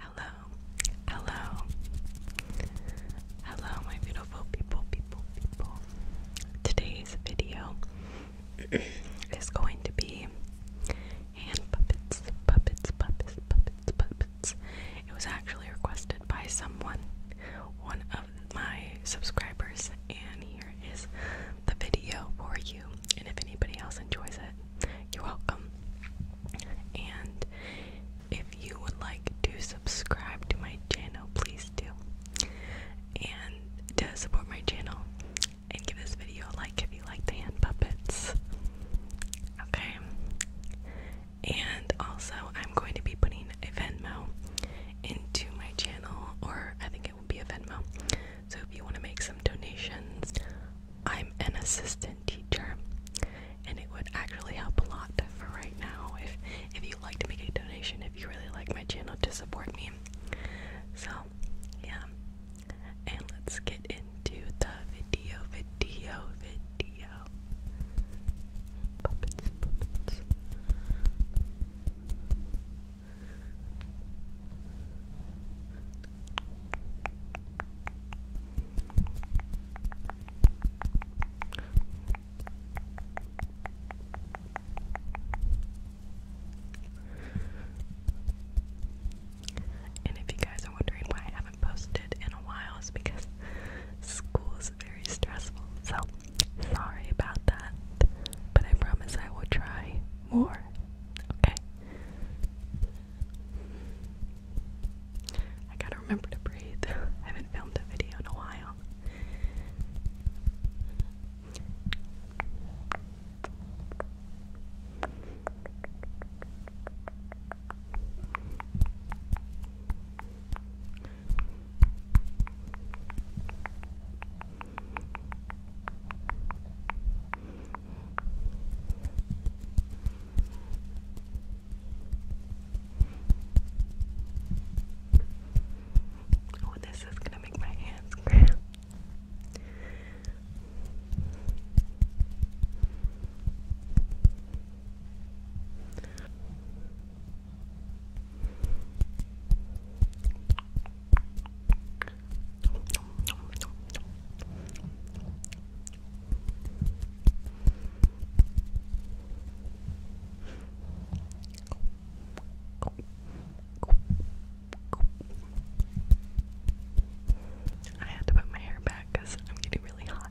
Hello, hello, hello, my beautiful people, people, people. Today's video is going to be hand puppets, puppets, puppets, puppets, puppets. It was actually requested by someone, one of my subscribers, and here is the video for you. And if anybody else enjoys it, you're welcome. And if you would like to subscribe to my channel, please do. And to support my channel, and give this video a like if you like the hand puppets. Okay. And also, I'm going to be putting a Venmo into my channel, or I think it will be a Venmo. So if you want to make some donations, I'm an assistant teacher and it would actually help a lot for right now if if you'd like to make a donation if you really like my channel to support me. So yeah. And let's get into the video video video. Puppets, puppets. And if you guys are wondering why I haven't posted in a while, it's because school is very stressful. So, sorry about that. But I promise I will try more. Okay? I gotta remember to breathe. I haven't filmed a video in a while. Oh, this is gonna make my hands cramp. I had to put my hair back because I'm getting really hot.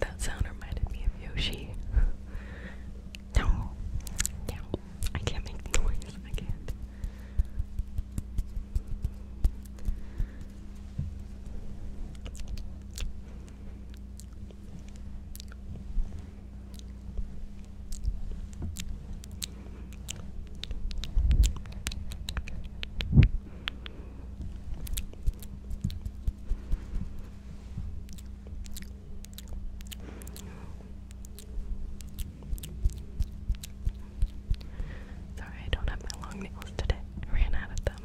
That sound reminded me of Yoshi. no, no, I can't make noise. I can't. Sorry, I don't have my long nails today. ran out of them.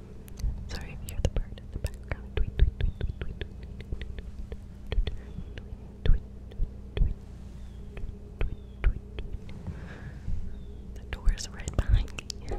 Sorry if hear the bird in the background. The door is right behind me.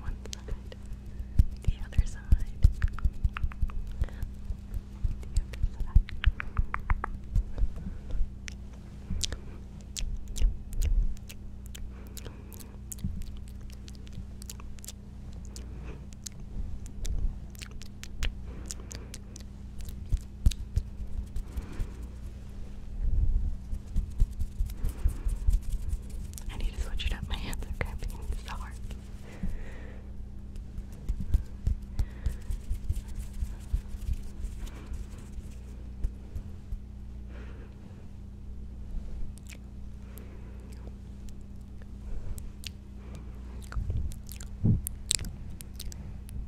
One side, the other side, the other side. I need to switch it up. My hands are cramping. It's so hard.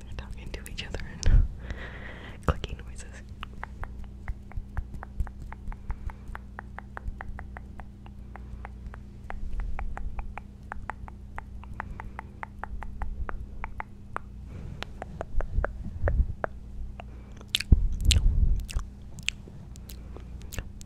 They're talking to each other and clicking noises.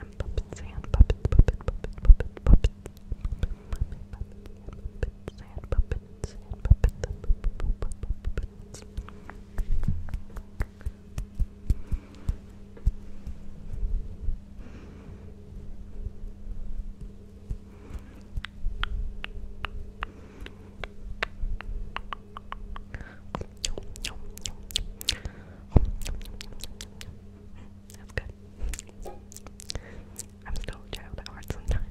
And puppets, and puppets, puppets, puppets, puppets, puppets. Puppets, and puppets, and puppets, puppets. Puppets, that's good. I'm still a child at heart sometimes.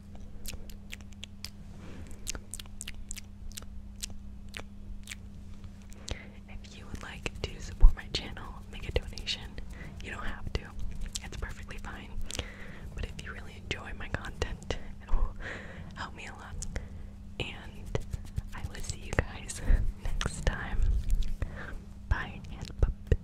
If you would like to support my channel, make a donation. You don't have to, it's perfectly fine. But if you really enjoy my content, it will me a lot. And I will see you guys next time. Bye,